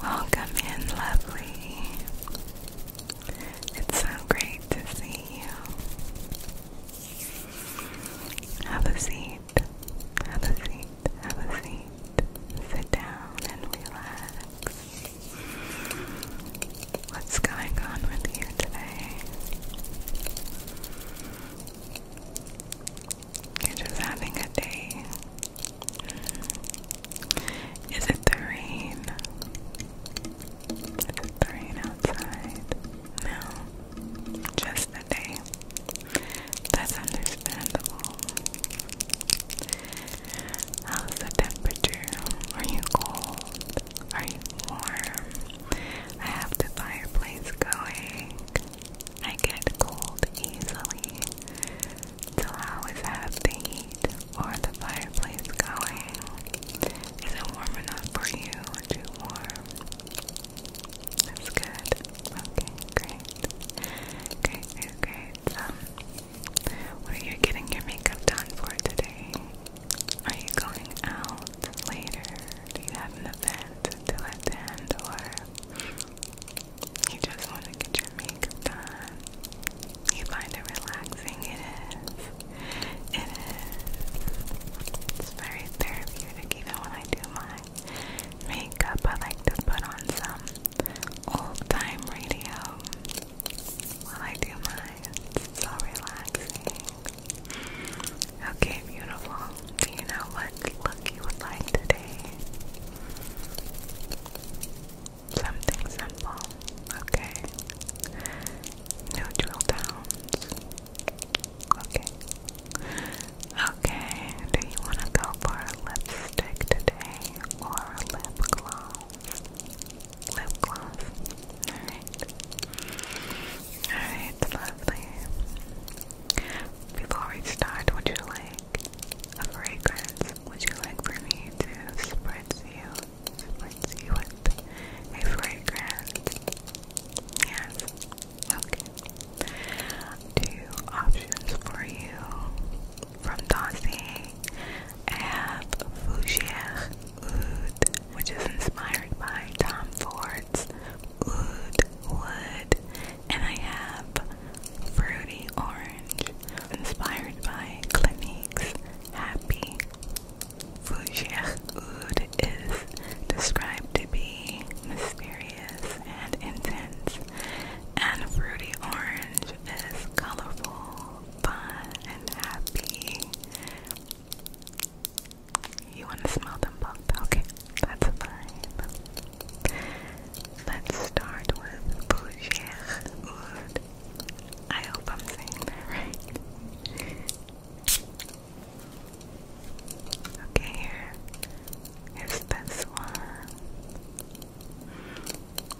Welcome in, lovely. It's so great to see you. Have a seat. Have a seat. Have a seat. Sit down and relax. What's going on with you today? You're just having a day. Is it the rain? the rain outside? No, just the day. That's understandable. How's the temperature? Are you cold? Are you warm? I have the fireplace going. I get cold easily, so I always have the heat or the fireplace going. Is it warm enough for you? Too warm? That's good. Okay, great. Great, great, Um, what are you getting your makeup done for today? Are you going out later? Do you have an event to attend or you just want to get makeup You find it relaxing? It is. It is. It's very therapeutic even when I do my makeup. I like to put on some old time radio while I do mine. It's so relaxing. Okay, beautiful. Do you know what look you would like today? Something simple. Okay. Neutral tones. Okay. Okay, do you want to go for a lipstick today or a lip gloss? Lip gloss. Alright. Alright, lovely. Before we start, would you like a fragrance? Would you like for me to spritz you? Spritz you with a fragrance? Yes. Okay. Two options for you. From Dossie, I have Fougere Oud, which is inspired by Tom Ford's Oud Wood. And I have Fruity Orange, inspired by Clinique's Happy. Fougère Wood is described to be mysterious and intense, and Fruity Orange is colorful, fun, and happy. You want to smell them both? Okay, that's fine. Let's start with Bougère I hope I'm saying that right. Okay, here is this one.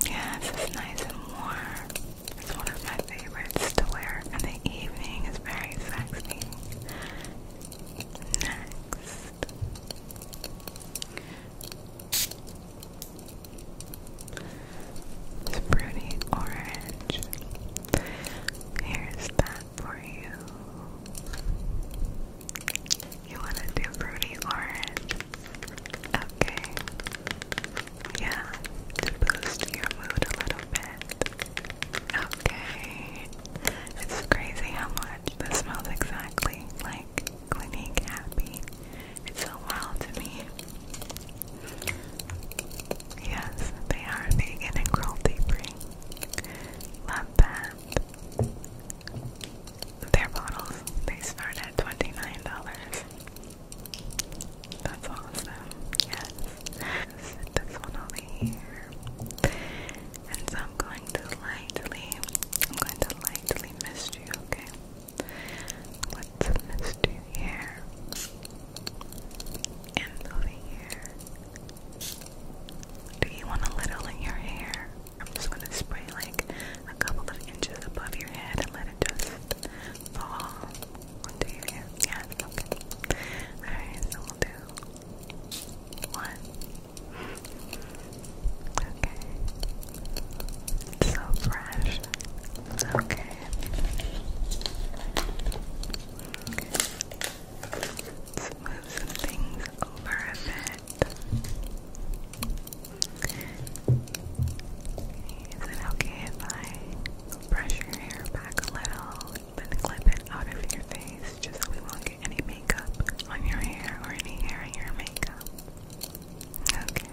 Yeah, this is nice and warm. It's one of my favorites to wear in the evening. It's very sexy. Next. It's orange. Here's that for you. You want to do fruity orange? Okay. Yeah, to boost your mood a little bit. Okay. It's crazy how much this smells exactly like Clinique Happy. It's so wild to me. Yes, they are vegan and cruelty free. Love that. Their bottles, they start at $29. That's awesome. Yes. This one and I'm going to lightly, I'm going to lightly mist you, okay? Let's mist you here. And over here. Do you want a little in your hair? I'm just going to spray like a couple of inches above your head and let it just fall one, two, three, yeah, okay. Alright, so we'll do one. Okay. It's so fresh. Okay. okay. Let's move some things over a bit. Is it okay if I brush your hair back a little? and clip it out of your face just so we won't get any makeup on your hair or any hair on your makeup. Okay.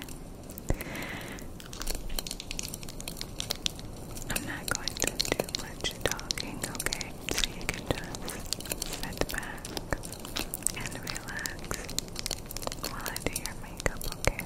I'm not going to do much talking, okay? So you can just sit back and relax while I do your makeup, okay?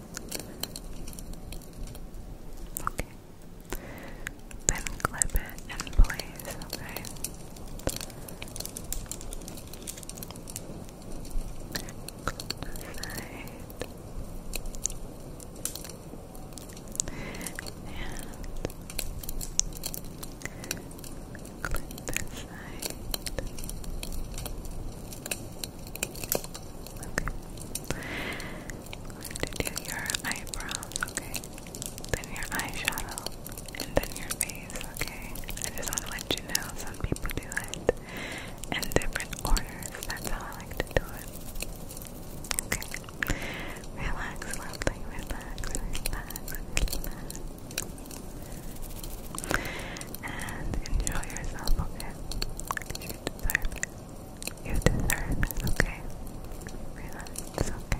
Okay. Then clip it in place, okay? Side. And clip this side. Okay do your eyebrows, okay? Then your eyeshadow, and then your face, okay? I just want to let you know some people do it in different orders. That's how I like to do it. Okay? Relax, lovely, relax, relax, relax. And enjoy yourself, okay? You deserve it, okay? Relax, okay?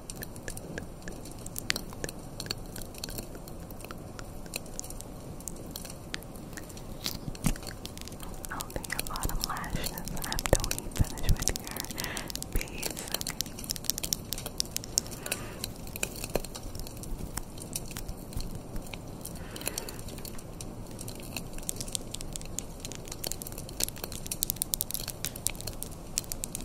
I'll do your bottom lashes after we finish with your beads.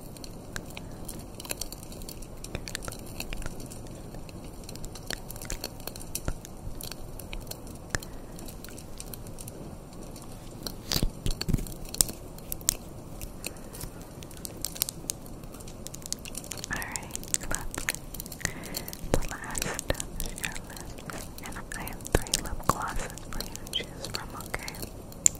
Alright, the last And I have three lip glosses for you to choose from, okay?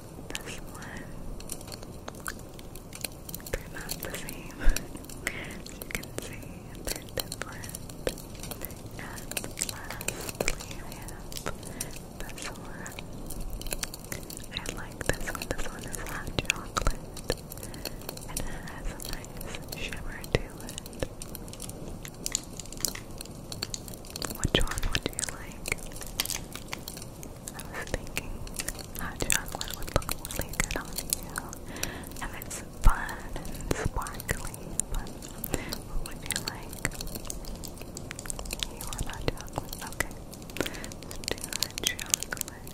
This one. They're not the same. you can see, they're different. And lastly, I have this one. I like this one. This one is hot chocolate. And it has a nice shimmer to it. Which one would you like? I was thinking hot chocolate would look really good on you. And it's fun and sparkly, but what would you like? You want hot chocolate? Okay. let do hot chocolate.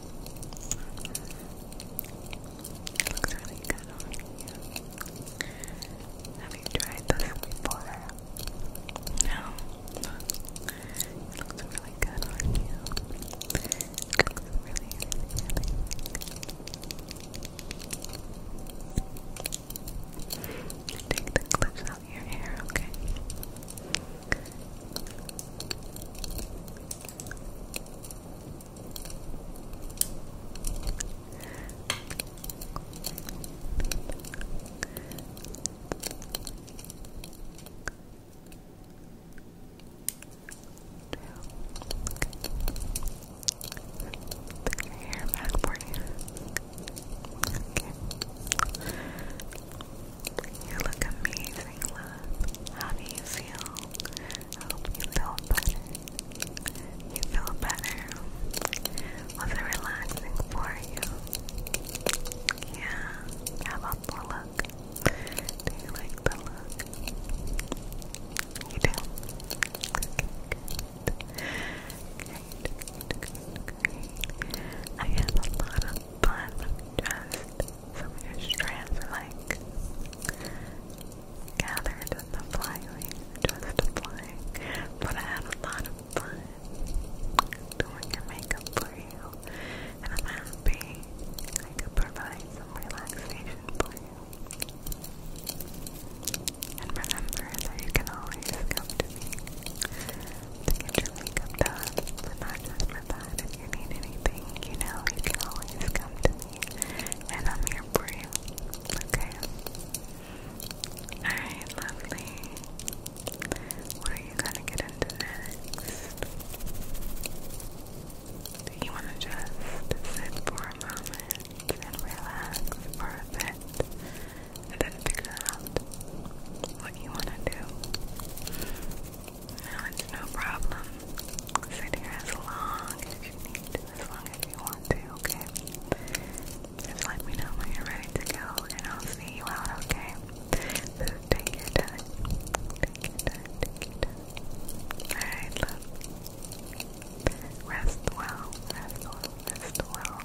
It looks really good on you. Have you tried this before? No. looks really good on you. looks really good. Take the clips out of your hair, okay? Hair back for you. Okay. You look amazing, love. How do you feel? hope you feel better. You feel better. Was it relaxing for you? Yeah. How about the look? Do you like the look? You do? I had a lot of fun just some of your strands are like gathered in the flyway, just flying. But I had a lot of fun doing your makeup for you, and I'm happy I could provide some relaxation for you. And remember that you can always come to me to get your but not just for that. If you need anything, you know, you can always come to me, and I'm here for you. Okay. Alright, lovely. What are you gonna get into next? you wanna just sit for a moment and relax for a and then figure out what you wanna do? No, it's no problem. Sit here as long as you need as long as you want to, okay? Just let me know when you're ready to go and I'll see you out, okay? take your time. Take your Rest well, rest well, rest well.